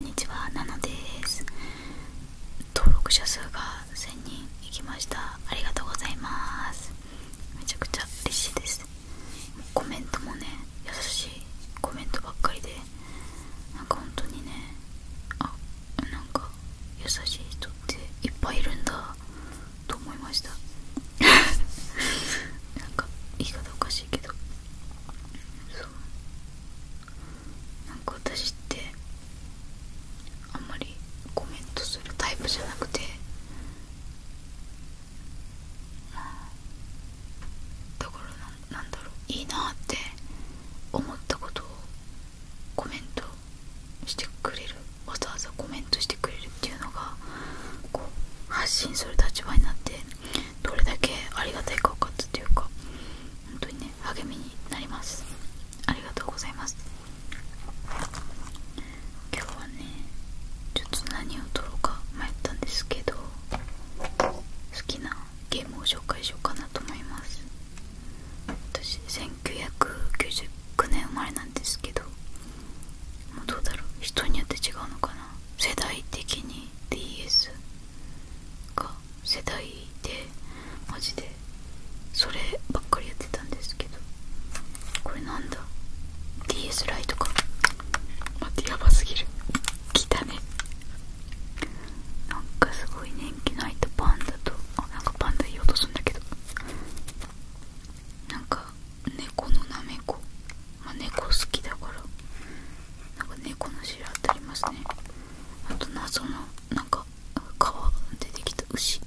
こんにちは、ナナです。登録者数が1000人いきました。ありがとうございます。めちゃくちゃ嬉しいです。コメントもね、優しいコメントばっかりで、なんか本当にね、あ、なんか優しい人っていっぱいいるんだと思いました。なんか言い方おかしいけど。そうなんか私ってあんまりコメントするタイプじゃなくてまあだからななんだろういいなって思ったことをコメントしてくれるわざわざコメントしてくれるっていうのがこう発信する立場になってどれだけありがたいか分かっていうか本当にね励みになりますありがとうございます今日はねちょっと何を撮ろうか迷ったんですけど好きなゲームを紹介しようかなと思います私1999年生まれなんですけどもうどうだろう人によって違うのかな世代的に DS が世代でマジでそればっかりやってたんですけどこれなんだ DS ライトか待ってやばすぎる来たねなんかすごい年季の入ったパンダとあなんかパンダ言おうとするんだけどなんか猫のなめこまあ、猫好きだからなんか猫の白ってありますねあと謎のなんか皮出てきた牛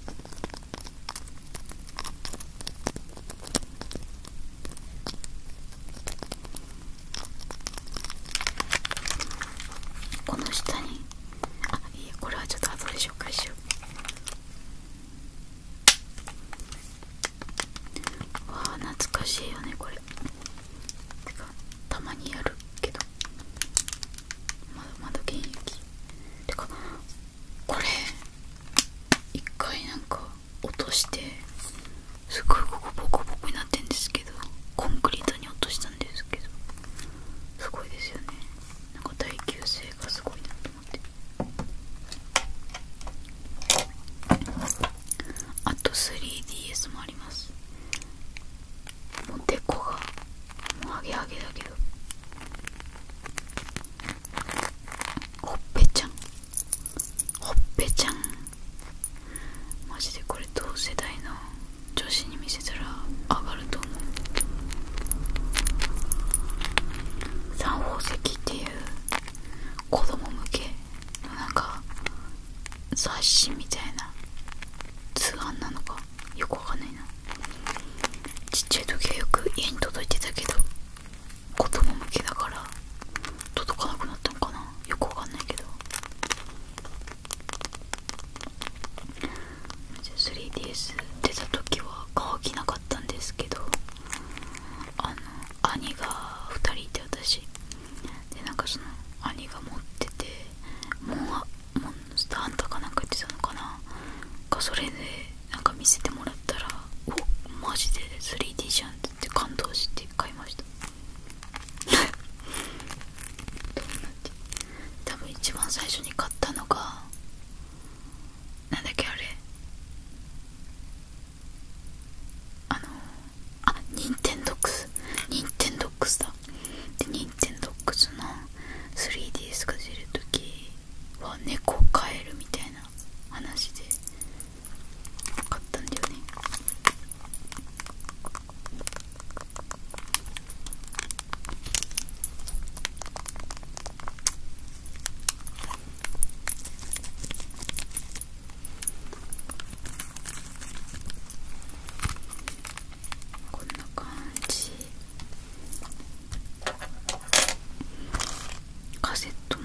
この下にあいえ、これはちょっと後で紹介しようわあ懐かしいよねこれてかたまにやるけどまだまだ現役てかこれ一回なんか落としてすごいここボコボコになってんですけどコンクリートに落としたんですけどすごいですよねなんか耐久性がすごいなと思ってあと 3DS もありますもうデコがもうハゲハゲだけどほっぺちゃんほっぺちゃんマジでこれ同世代の女子に見せたら上がると思う三宝石っていう子供向けのなんか雑誌みたいな通販なのかよくわかんないなちっちゃい時はよく家に届いてたけど子供向けだから届かなくなったのかなよくわかんないけど 3DS 出た時は乾きなかったんですけどあの兄が2人いて私でなんかその兄が持っててモンハンターハンタかなんか言ってたのかなかそれでなんか見せてもらったらおマジで 3D じゃんって言って感動して買いました どうなって多分一番最初に買ったのがなんだっけあれあのー、あニンテンドックスニンテンドックスだでニンテンドックスの 3DS が出るときは猫を飼えるみたいな話でかったんだよねこんな感じカセットも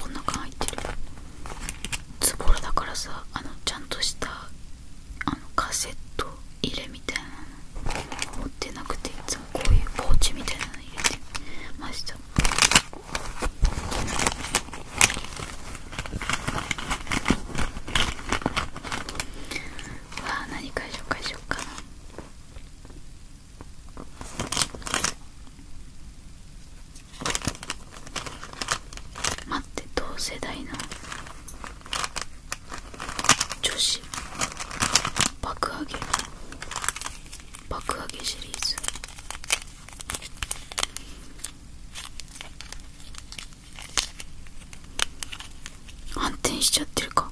こんな感じ入ってるツボラだからさあのちゃんとしたあのカセット入れみたいなの持ってなくていつもこういうポーチみたいなの入れてましたわあ何か紹介しかな待って同世代の女子爆上げ爆上げシリーズ反転しちゃってるか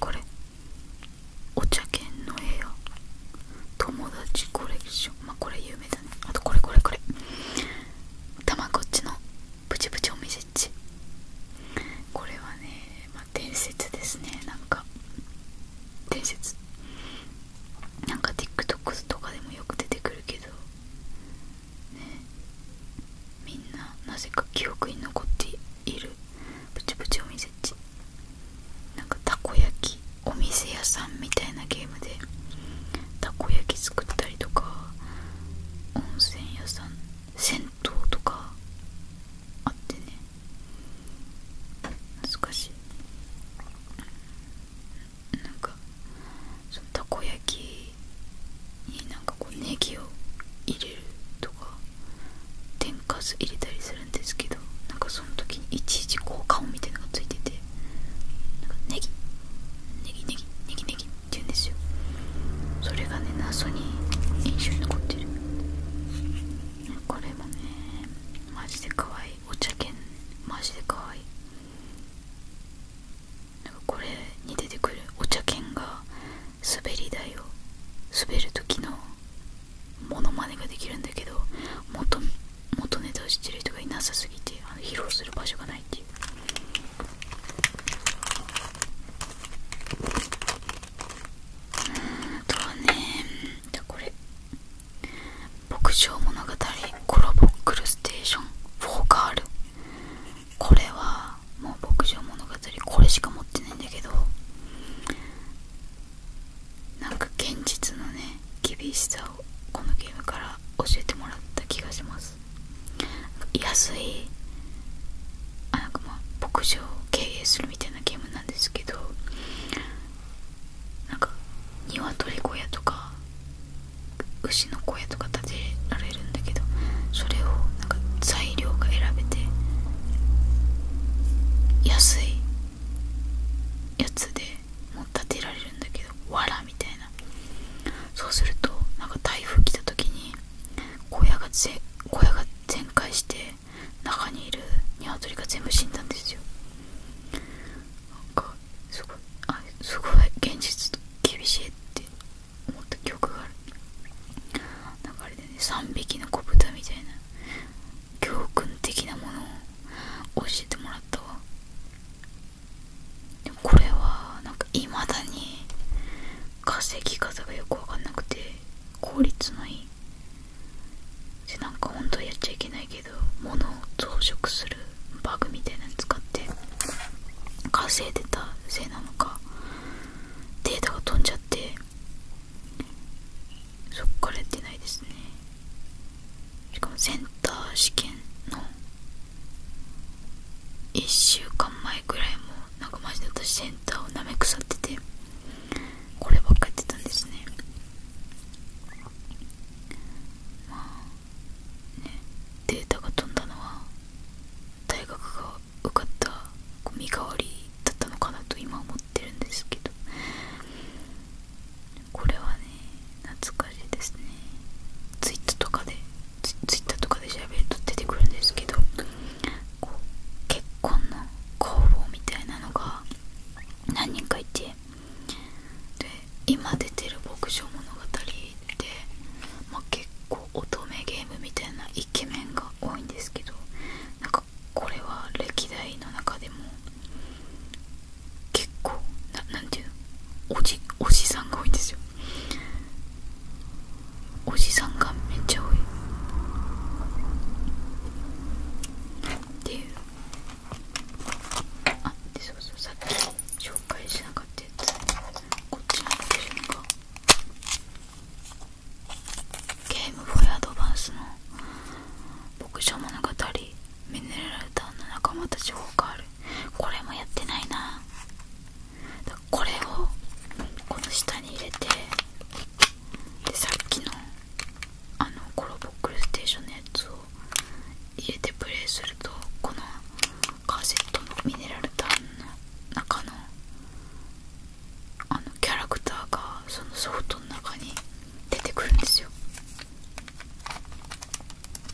これお茶犬の部屋。友達コレクションまあこれ有名だねあとこれこれこれたまこっちのプチプチおみせっちこれはね伝説ですねなんか伝説なんか TikTok とかでもよく出てくるけどねみんななぜか記憶に残っているプチプチお店ってなんかたこ焼きお店屋さんみたいなゲームでたこ焼き作ったりとか温泉屋さん銭湯とかあってね懐かしいなんかそのたこ焼きになんかこうネギを入れるとか天かす入れたりするんですけどなんかその時にいちいちこう顔みたいなのがついててなんかネギネギネギネギネギ言うんですよそれがね謎に印象に残ってるこれもねマジで可愛いお茶犬マジで可愛いなんかこれに出てくるお茶犬が滑り台を滑る時のモノマネができるんだけど元元ネタを知ってる人がいなさすぎてあの披露する場所がないっていううんあとはねじゃこれ牧場物語コロボクルステーションフォーカルこれはもう牧場物語これしか持ってないんだけどなんか現実のね厳しさをこのゲームから教えてもらった気がします安いあなんかまあ牧場を経営するみたいなゲームなんですけどなんか鶏小屋とか牛の小屋とか建てられるんだけどそれをなんか材料が選べて安いやつでもう建てられるんだけどわらみたいなそうするとなんか台風来た時に小屋がぜ小屋が全壊して中にいるニワトリが全部死んだんですよなんかすごいあすごい現実と厳しいって思った記憶があるなんかあれでね3匹の子豚みたいな教訓的なものを教えてもらったわこれはなんかいまだに稼ぎ方がよく分かんなくて効率のいいでなんか本当はやっちゃいけないけど物を増殖するバグみたいなの使って稼いでたせいなのかデータが飛んじゃってそっからやってないですねしかもセンター試験の1週間前ぐらいもなんかマジで私センターをなめくさっててこればっかやってたんですねまあねデータが飛んだのは大学が受かった身代わりだったのかなと今思ってるんですけどこれはね懐かし夏しいですねツイッターとかでツイッターとかで調べると出てくるんですけどこう結婚の公募みたいなのが何人かいてで今出てる牧場物語って、まあ、結構乙女ゲームみたいなイケメンが多いんですけどなんかこれは歴代の中でも結構ななんていうのおじおじさんが多いんですよおじさんがめっちゃ多いっていうあでそうそうさっき紹介しなかったやつこっちなんでしょかゲームフーイアドバンスの牧場物語ミネラ仲間たち多くあるこれもやってないなこれをこの下に入れてでさっきのあのコロボックルステーションのやつを入れてプレイするとこのカセットのミネラルタンの中のあのキャラクターがそのソフトの中に出てくるんですよ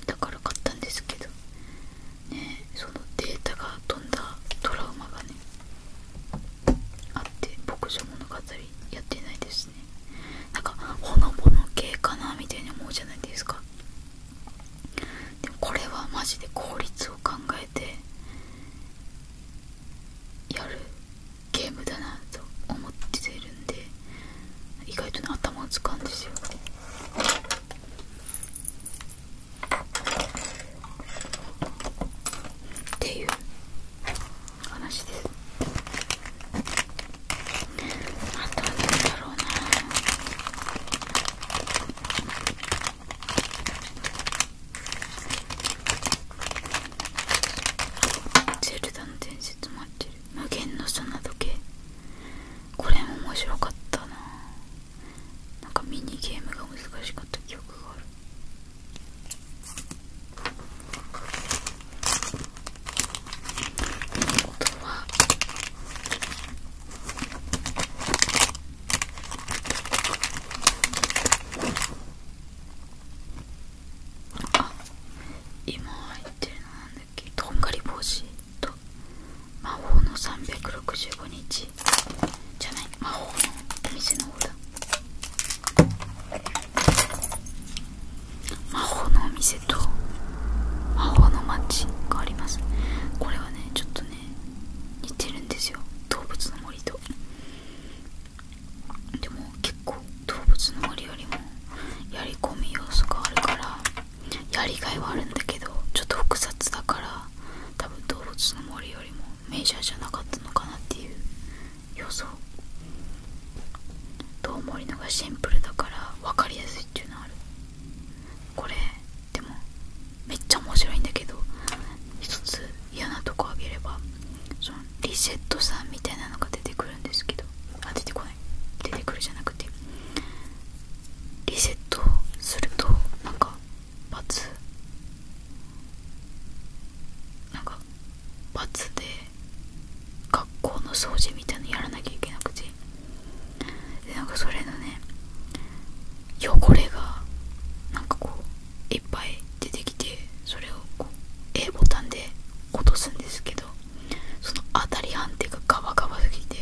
だから買ったんですけどねそのデータが飛んだトラウマがねあって牧場物語やってないですねなんかほのぼの系かなみたいに思うじゃないですかでもこれはマジで効率を考えてやるゲームだなと思ってるんで意外とね頭を使うんですよっていう話ですあとは何だろうなゼルダの伝説もあって無限の砂時計これ面白かったななんかミニゲームが難しかった記憶がある音はあ今入ってるなんだっけとんがり帽子と魔法の365日じゃない魔法のお店の方だ魔法のお店と魔法の街がありますこれはねちょっとね似てるんですよ動物の森とでも基結構動物の森よりもやり込み要素があるからやりがいはあるんだけどちょっと複雑だから多分動物の森よりもメジャーじゃなかったのかなっていう予想どう森のがシンプルだから分かりやすいっていうのあるこれでもめっちゃ面白いんだけど一つ嫌なとこあげればそのリセットさんみたいなのが出てくるんですけどあ出てこない出てくるじゃなくてリセットするとなんかバツなんかバツで学校の掃除みたいなのやらなきゃいけなくてでなんかそれのね汚れがなんかこういっぱい出てきてそれをこう A ボタンで落とすんですけどその当たり判定がガバガバすぎて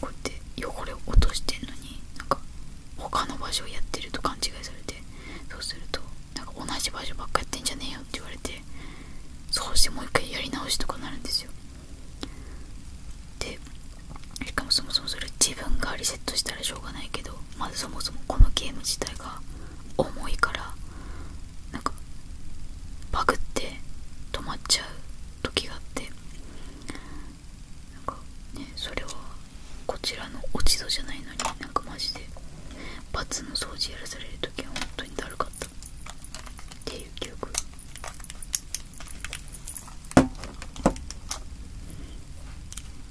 こうやって汚れを落としてんのになんか他の場所をやってると勘違いされてそうするとなんか同じ場所ばっかやってんじゃねえよって言われてそうしてもう一回やり直しとかなるんですよでしかもそもそもそれ自分がリセットしたらしょうがないけどまずそもそもこのゲーム自体が重いからなんバグって止まっちゃう時があってなかねそれはこちらの落ち度じゃないのになんかマジでバツの掃除やらされる時は本当にだるかったっていう記憶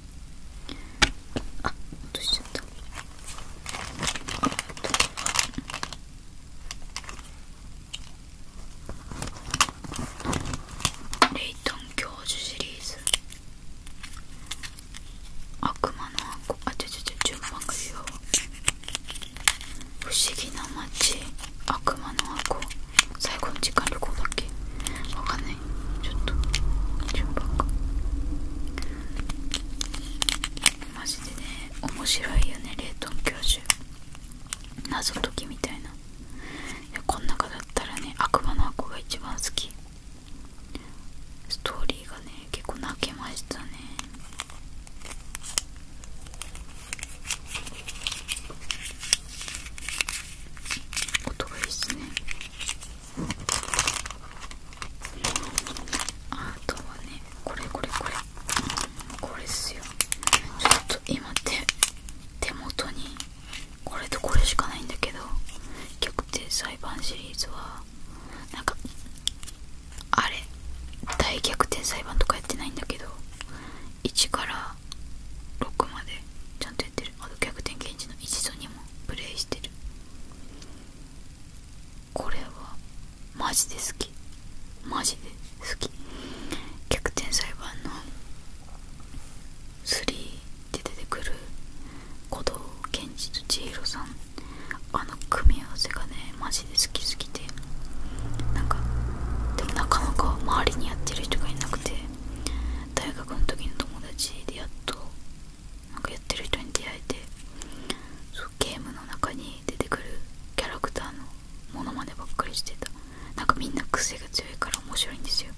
あっ落としちゃったレイトン教授シリーズ悪魔の箱あちょちょちょ順番が違不思議な街悪魔の箱最高の時間旅行だっけわかんないちょっと順番がマジでね面白いよねレイトン教授謎解きみたいないやこん中だったらね悪魔の箱が一番好きストーリーがね結構泣けましたね音がいいっすねあとはねこれこれこれ、うん、これっすよちょっと今手手元にこれとこれしかないんだけど逆転裁判シリーズはなんかあれ大逆転裁判とかやってないんだけど1から6までちゃんとやってるあと逆転検事の1と2プレイしてるこれはマジで好きマジで好き逆転裁判の3って出てくる鼓動健二と千尋さんあの組み合わせがねマジで好きすぎてなんかでもなかなか周りにやってる人がいなくて大学の時の友達でやっとなんかやってる人に出会えてそうゲームの中に出てくるキャラクターのモノマネばっかりしてたなんかみんな癖が強いから面白いんですよ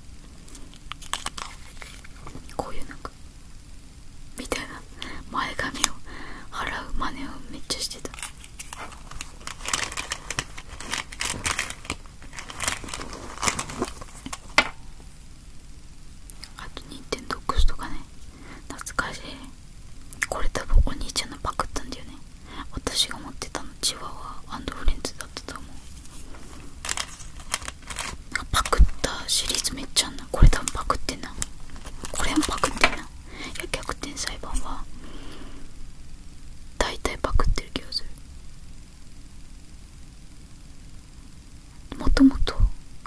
こういうなんかみたいな前髪を払う真似をめっちゃしてたあと2点 n t e n とかね懐かしいこれ多分お兄ちゃんのパクったんだよね私が持ってたのチワワフレンズだったと思うパクったシリーズめっちゃあんなこれ多分パクってんなこれもパクってないや逆転裁判は大体パクってる気がするもともと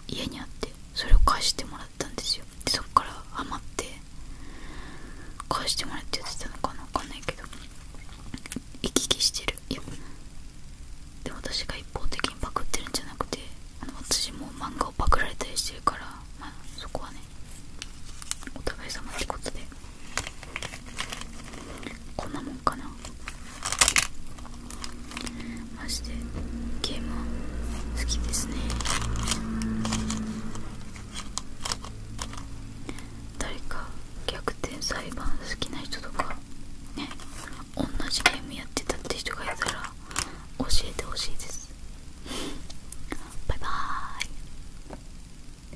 家にあってそれを返してもらったんですよそっからハマって返してもらってやってたのかな分かんないけど行き来してるいやで私が一方的にパクってるんじゃなくてあの私も漫画をパクられたりしてるからまそこはねお互い様ってことでこんなもんかなマジでゲーム好きですね誰か逆転裁判好きな人とかね同じゲームやってたって人がいたら教えてほしいですバイバーイ